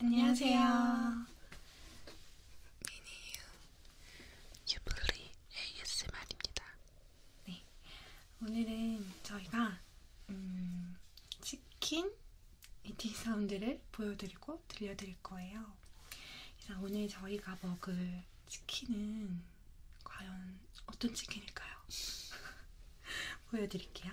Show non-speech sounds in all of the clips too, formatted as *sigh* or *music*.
안녕하세요. 미니유 유블리 ASMR입니다. 네, 오늘은 저희가 음, 치킨 이티 사운드를 보여드리고 들려드릴 거예요. 그래서 오늘 저희가 먹을 치킨은 과연 어떤 치킨일까요? *laughs* 보여드릴게요.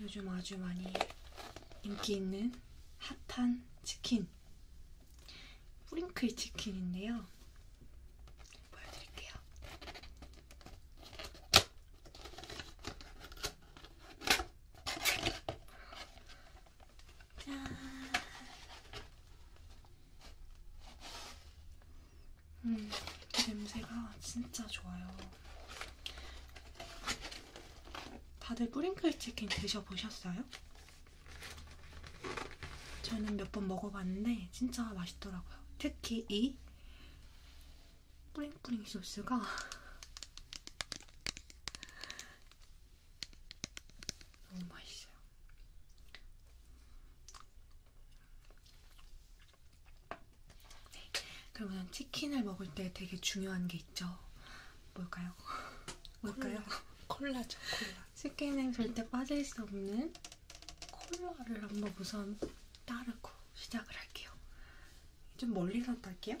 요즘 아주 많이 인기 있는 핫한 치킨 프링클 치킨인데요. 보여드릴게요. 짠. 음, 냄새가 진짜 좋아요. 다들 뿌링클 치킨 드셔보셨어요? 저는 몇 번 먹어봤는데 진짜 맛있더라고요. 특히 이 뿌링뿌링 소스가 *laughs* 너무 맛있어요. 네. 그러면 치킨을 먹을 때 되게 중요한 게 있죠. 뭘까요? 뭘까요? 콜라, 죠 콜라. 치킨에 절대 빠질 수 없는 콜라를 한번 우선 따르고 시작을 할게요. 좀 멀리서 딸게요.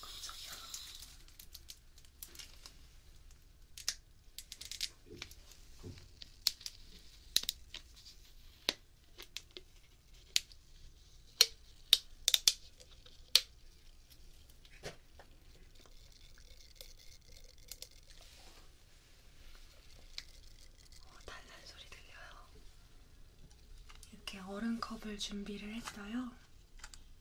깜짝이야. 어, 달란 소리 들려요. 이렇게 얼음컵을 준비를 했어요.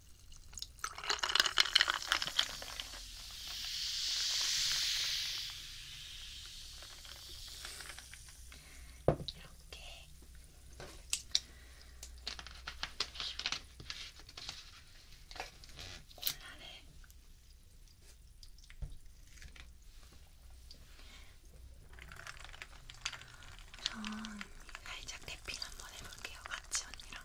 이렇게 콜라를 우선 살짝 데핀 한번 해볼게요. 같이 언니랑.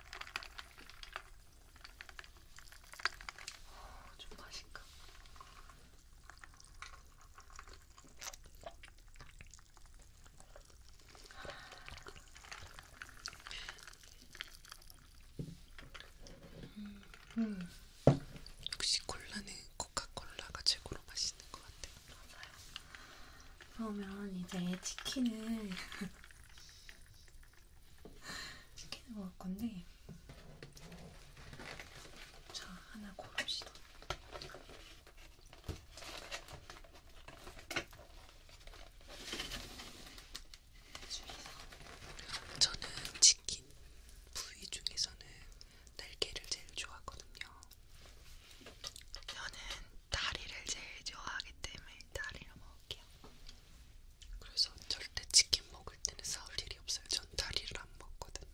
어, 좀 맛있까? 음, 음. 역시 콜라는 코카콜라가 최고로 맛있는 것 같아요. 맞아요. 그러면 이제 치킨을 *laughs* 치킨을 먹을 건데 자 하나 고릅시다. 저는 치킨 부위 중에서는 날개를 제일 좋아하거든요. 저는 다리를 제일 좋아하기 때문에 다리를 먹을게요. 그래서 절대 치킨 먹을 때는 싸울 일이 없어요. 전 다리를 안 먹거든요.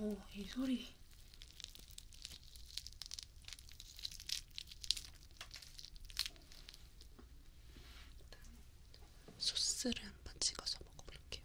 오, 이 소리. 소스를 한번 찍어서 먹어볼게요.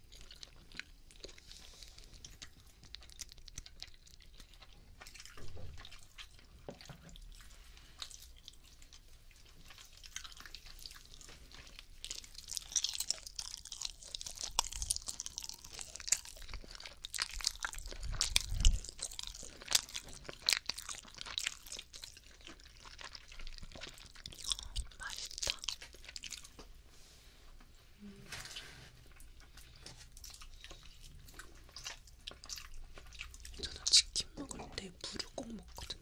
맛있다. 저는 치킨 먹을 때 물을 꼭 먹거든요.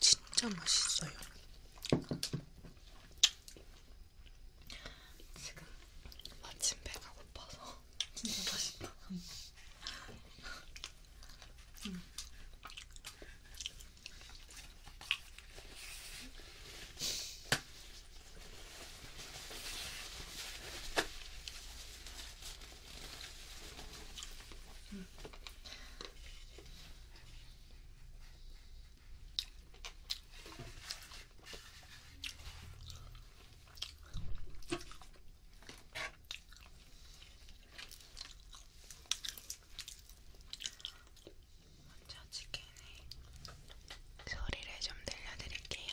진짜 맛있어요. 지금 마침 배가 고파서 진짜 맛있다. 음. 음. 먼저 치킨의 소리를 좀 들려드릴게요.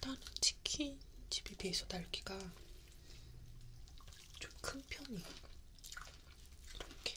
다른 치킨 집에 비해서 날개가 좀 큰 편이에요. 이렇게.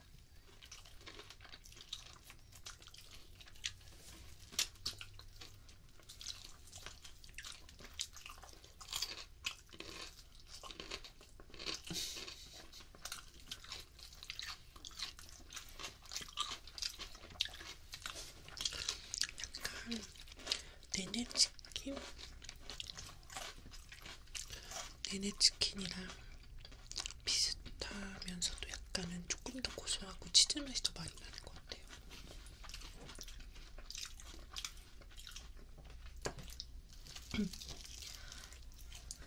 약간 네네치킨? 네네치킨이랑 비슷하면서도 약간은 조금 더 고소하고 치즈 맛이 더 많이 나는 것 같아요.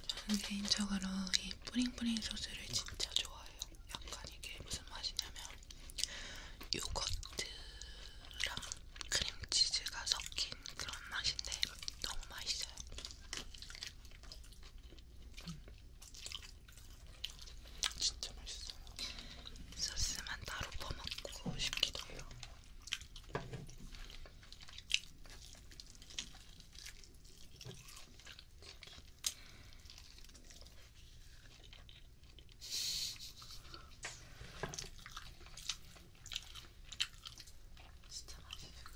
저는 개인적으로 이 뿌링뿌링 소스를 진짜 좋아해요. 약간 이게 무슨 맛이냐면 요거트랑 크림치즈가 섞인 그런 맛인데 너무 맛있어요. 진짜 맛있어요. 소스만 따로 퍼먹고 싶기도 해요. 진짜 맛있는 거.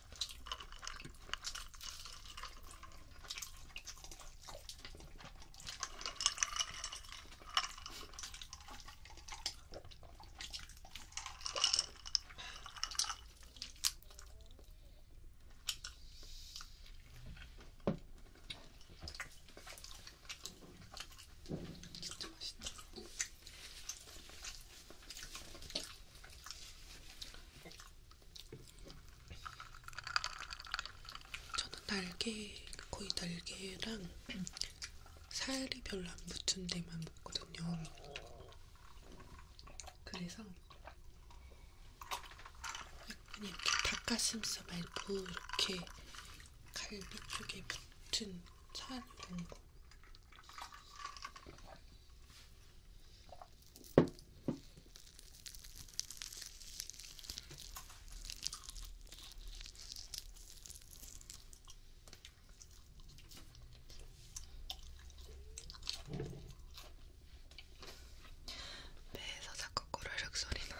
진짜 맛있다. 저는 날개, 거의 날개랑 살이 별로 안 붙은 데만 먹거든요. 그래서 약간 이렇게 닭가슴살 말고 이렇게 갈비 쪽에 붙은 살 이런 거 배에서 자꾸 꼬르륵 소리 나요.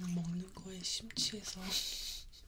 음, 먹는 거에 심취해서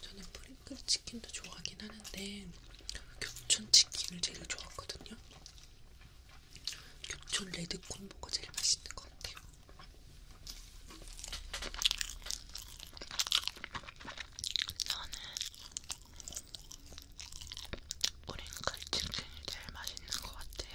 저는 프링클 치킨도 좋아하긴 하는데 겹촌 치킨을 제일 좋아하거든요. 겹촌 레드 콤보가 제일 맛있는 것 같아요. 저는 프링클 치킨이 제일 맛있는 것 같아요.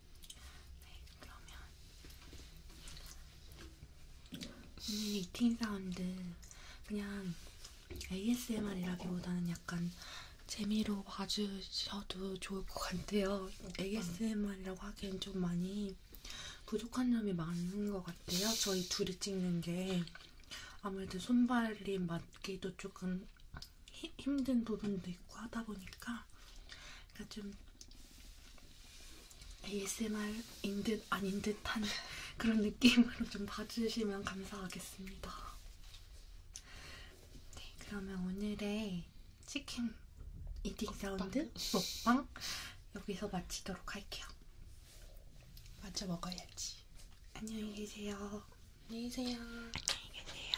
네, 그러면 오늘 이팅 사운드 그냥 ASMR이라기보다는 약간 재미로 봐주셔도 좋을 것 같아요. ASMR이라고 하기엔 좀 많이 부족한 점이 많은 것 같아요. 저희 둘이 찍는 게 아무래도 손발이 맞기도 조금 힘든 부분도 있고 하다 보니까 그러니까 좀 ASMR인 듯 아닌 듯한 그런 느낌으로 좀 봐주시면 감사하겠습니다. 네, 그러면 오늘의 치킨 이팅 사운드 먹방 여기서 마치도록 할게요. 먼저 먹어야지. 안녕히 계세요. 안녕히 계세요. 안녕히 계세요.